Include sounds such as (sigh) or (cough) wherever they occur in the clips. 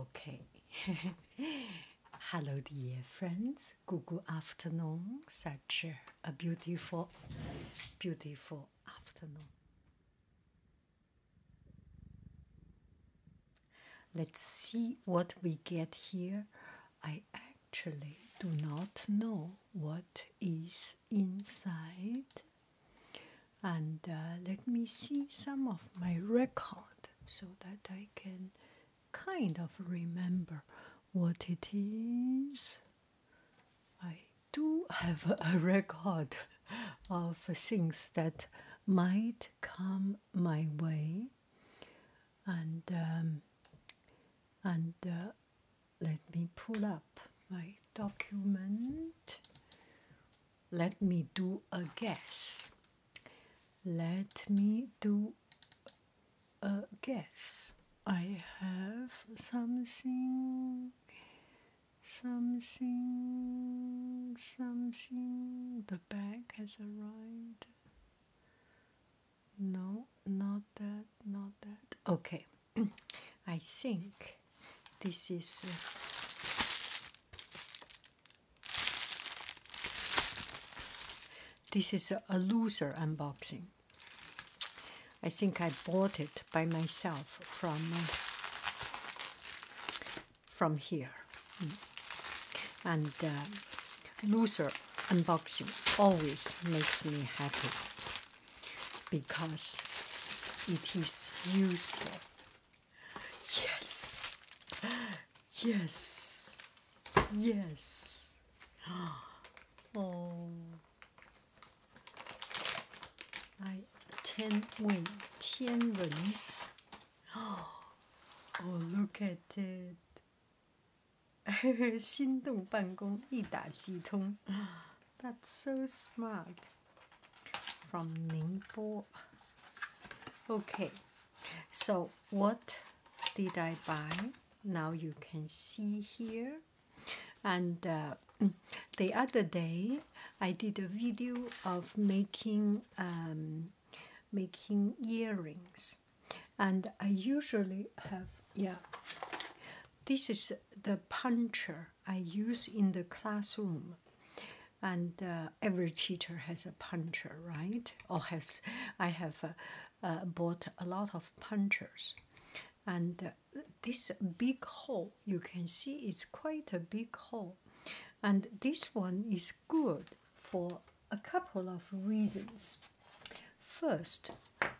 Okay. (laughs) Hello, dear friends. Good, afternoon. Such a beautiful, beautiful afternoon. Let's see what we get here. I actually do not know what is inside and uh, let me see some of my record so that I can kind of remember what it is. I do have a record of things that might come my way, and um, and uh, let me pull up my document. Let me do a guess. Let me do a guess. I have something, something, something. The bag has arrived. No, not that, not that. Okay, (clears throat) I think this is. Uh, this is a, loser unboxing. I think I bought it by myself from uh, from here, mm. and uh, loser unboxing always makes me happy because it is useful. Yes, yes, yes. (gasps) Oh, I ten win ten win. Oh, look at it. (laughs) 心动办公一打即通，that's so smart. From Ningbo. Okay, so what did I buy? Now you can see here. And uh, (clears throat) the other day, I did a video of making um, making earrings, and I usually have yeah, this is the puncher I use in the classroom, and uh, every teacher has a puncher, right? Or has I have uh, uh, bought a lot of punchers, and this big hole you can see is quite a big hole, and this one is good for a couple of reasons. First,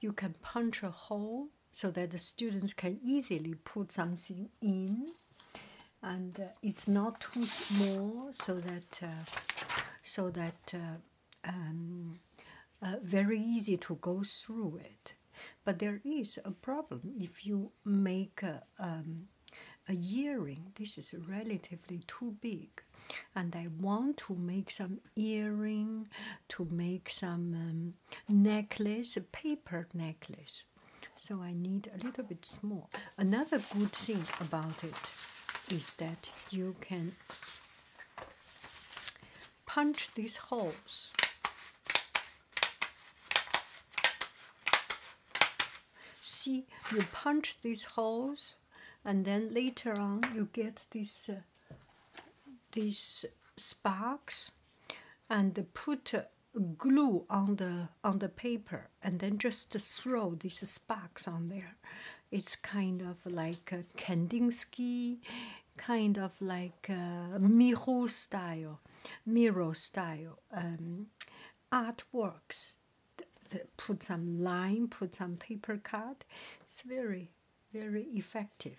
you can punch a hole so that the students can easily put something in and uh, it's not too small so that uh, so that uh, um, very easy to go through it but there is a problem if you make a, um, a earring this is relatively too big and i want to make some earring to make some um, necklace, a paper necklace. So I need a little bit small. Another good thing about it is that you can punch these holes. See, you punch these holes, and then later on you get this uh, these sparks and put glue on the on the paper and then just throw these sparks on there it's kind of like kandinsky kind of like miro style miro style um, artworks put some line put some paper cut it's very very effective.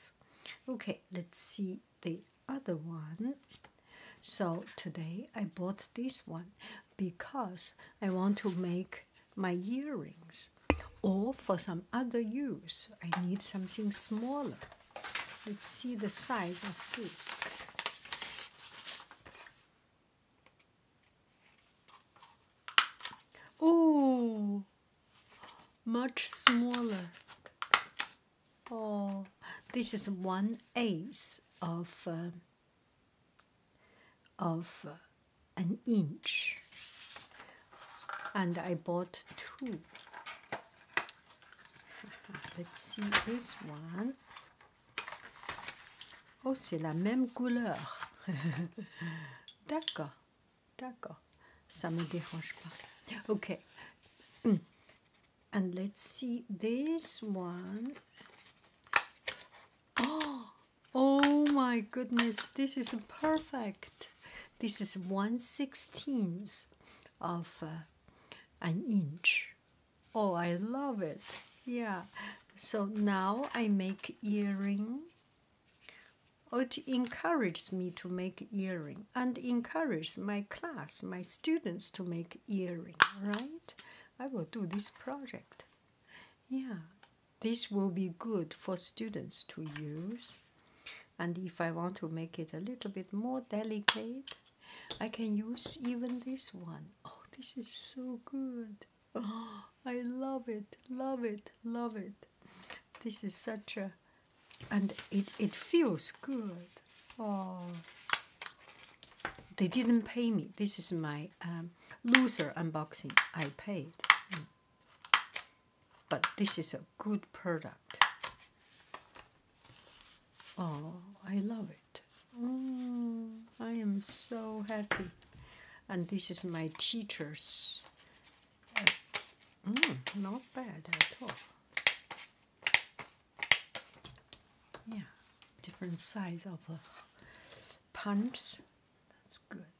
Okay, let's see the other one. So today I bought this one because I want to make my earrings or for some other use. I need something smaller. Let's see the size of this. Oh, much smaller. Oh, this is one eighth of um, of uh, an inch, and I bought two. (laughs) Let's see this one. Oh, c'est la même couleur. (laughs) D'accord. D'accord, ça me dérange pas. Okay, hmm. and let's see this one. Oh, oh my goodness, this is perfect. This is one one sixteenth of uh, an inch. Oh, I love it. Yeah. So now I make earring it encourages me to make earring and encourages my class, my students to make earring, right? I will do this project. Yeah, this will be good for students to use. And if I want to make it a little bit more delicate, I can use even this one. Oh, this is so good. Oh, (gasps) I love it, love it, love it. This is such a, and it, it feels good. Oh, they didn't pay me. This is my um, loser unboxing. I paid. But this is a good product. Oh, I love it. Oh, I am so happy. And this is my teacher's. Uh, mm, not bad at all. Yeah, different size of uh, punts. That's good.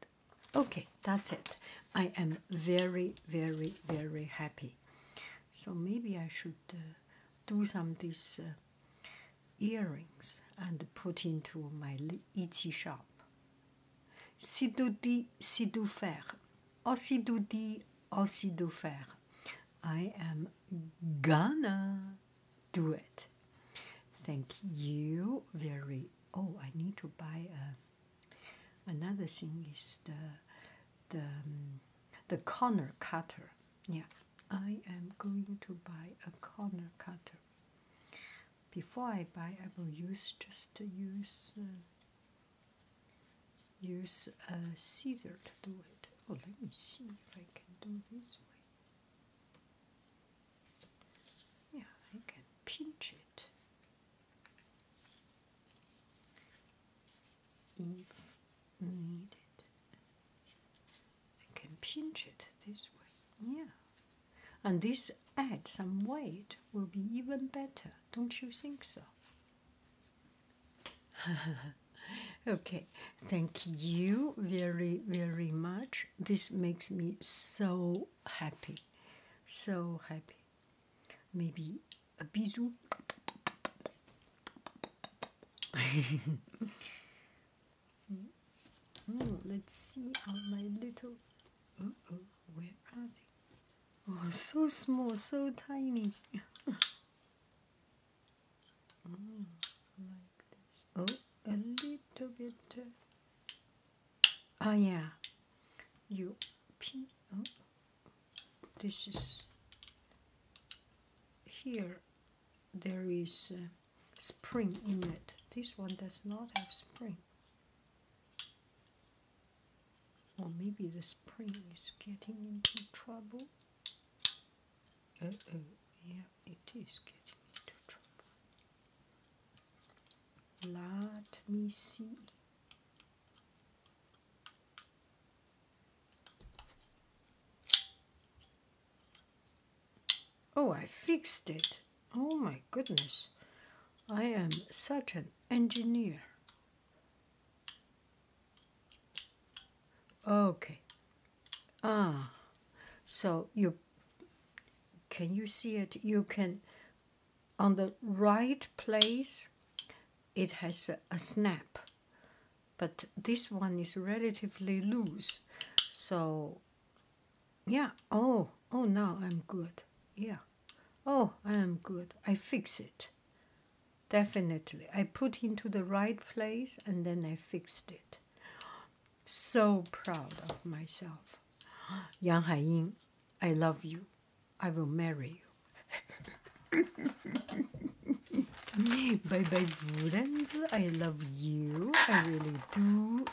Okay, that's it. I am very, very, very happy. So maybe I should uh, do some of these uh, earrings and put into my Ichi shop. Sidou di, sidou faire. Osidou di, osidou faire. I am gonna do it. Thank you very. Oh, I need to buy a. Uh, another thing is the the um, the corner cutter. Yeah, I am going to buy a corner cutter before I buy, I will use just use uh, use uh, a scissor to do it. Oh, let me see if I can do this way. Yeah, I can pinch it. If needed, I can pinch it this way. Yeah. And this add some weight will be even better, don't you think so? (laughs) okay, thank you very, very much. This makes me so happy. So happy. Maybe a bisou. (laughs) Hmm. Hmm, let's see how my little. oh, where are they? Oh, so small, so tiny. (laughs) Hmm, oh, a little bit. Uh, oh, yeah. You oh. this is here there is uh, spring in it. This one does not have spring. Or maybe the spring is getting into trouble. Uh oh, yeah, it is getting into trouble. Let me see. Oh, I fixed it. Oh my goodness. I am such an engineer. Okay. Ah, so you, can you see it? You can, on the right place, it has a, a snap but this one is relatively loose so yeah oh oh now i'm good yeah oh i am good i fix it definitely i put into the right place and then i fixed it so proud of myself (gasps) yang haiying i love you i will marry you (laughs) (laughs) bye bye, friends. I love you. I really do.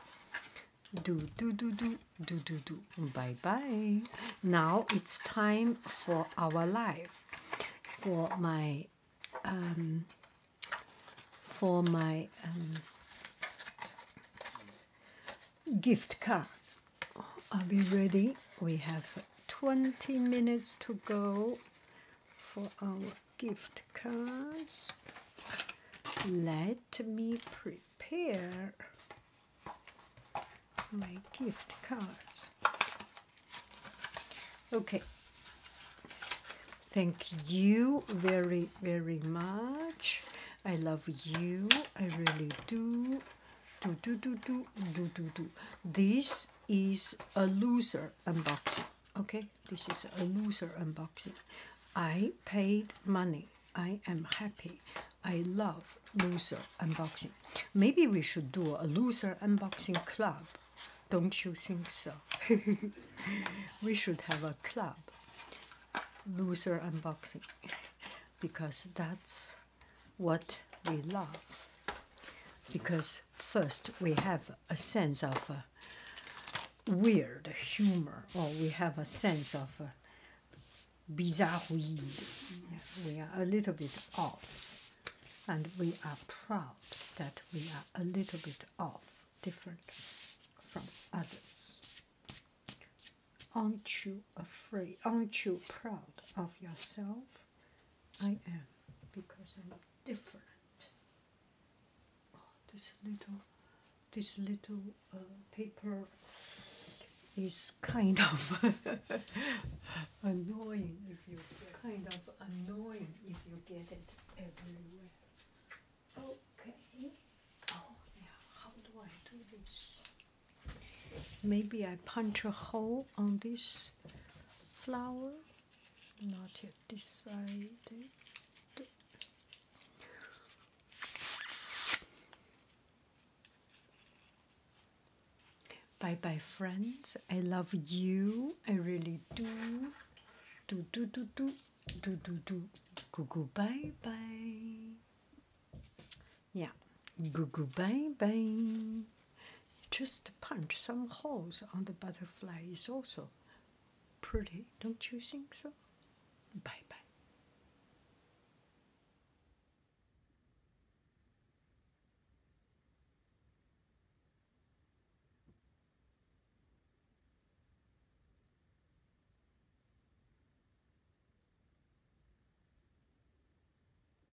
Do, do, do, do, do, do, do. Bye bye. Now it's time for our live. For my, um, for my, um, gift cards. Are we ready? We have 20 minutes to go for our gift cards. Let me prepare my gift cards. Okay. Thank you very, very much. I love you. I really do. Do, do, do, do, do, do, do. This is a loser unboxing. Okay, this is a loser unboxing. I paid money. I am happy. I love loser unboxing. Maybe we should do a loser unboxing club. Don't you think so? (laughs) we should have a club. Loser unboxing. Because that's what we love. Because first we have a sense of uh, weird humor, or we have a sense of uh, bizarre bizarroid. We are a little bit off, and we are proud that we are a little bit off, different from others. Aren't you afraid? Aren't you proud of yourself? I am, because I'm different. Oh, this little, this little uh, paper is kind of (laughs) annoying if you kind of annoying if you get it everywhere. Okay. Oh yeah. How do I do this? Maybe I punch a hole on this flower not yet decided Bye bye, friends. I love you. I really do. Do do do do do do do. Goo goo bye bye. Yeah. Goo goo bye bye just punch some holes on the butterfly is also pretty, don't you think so? Bye bye.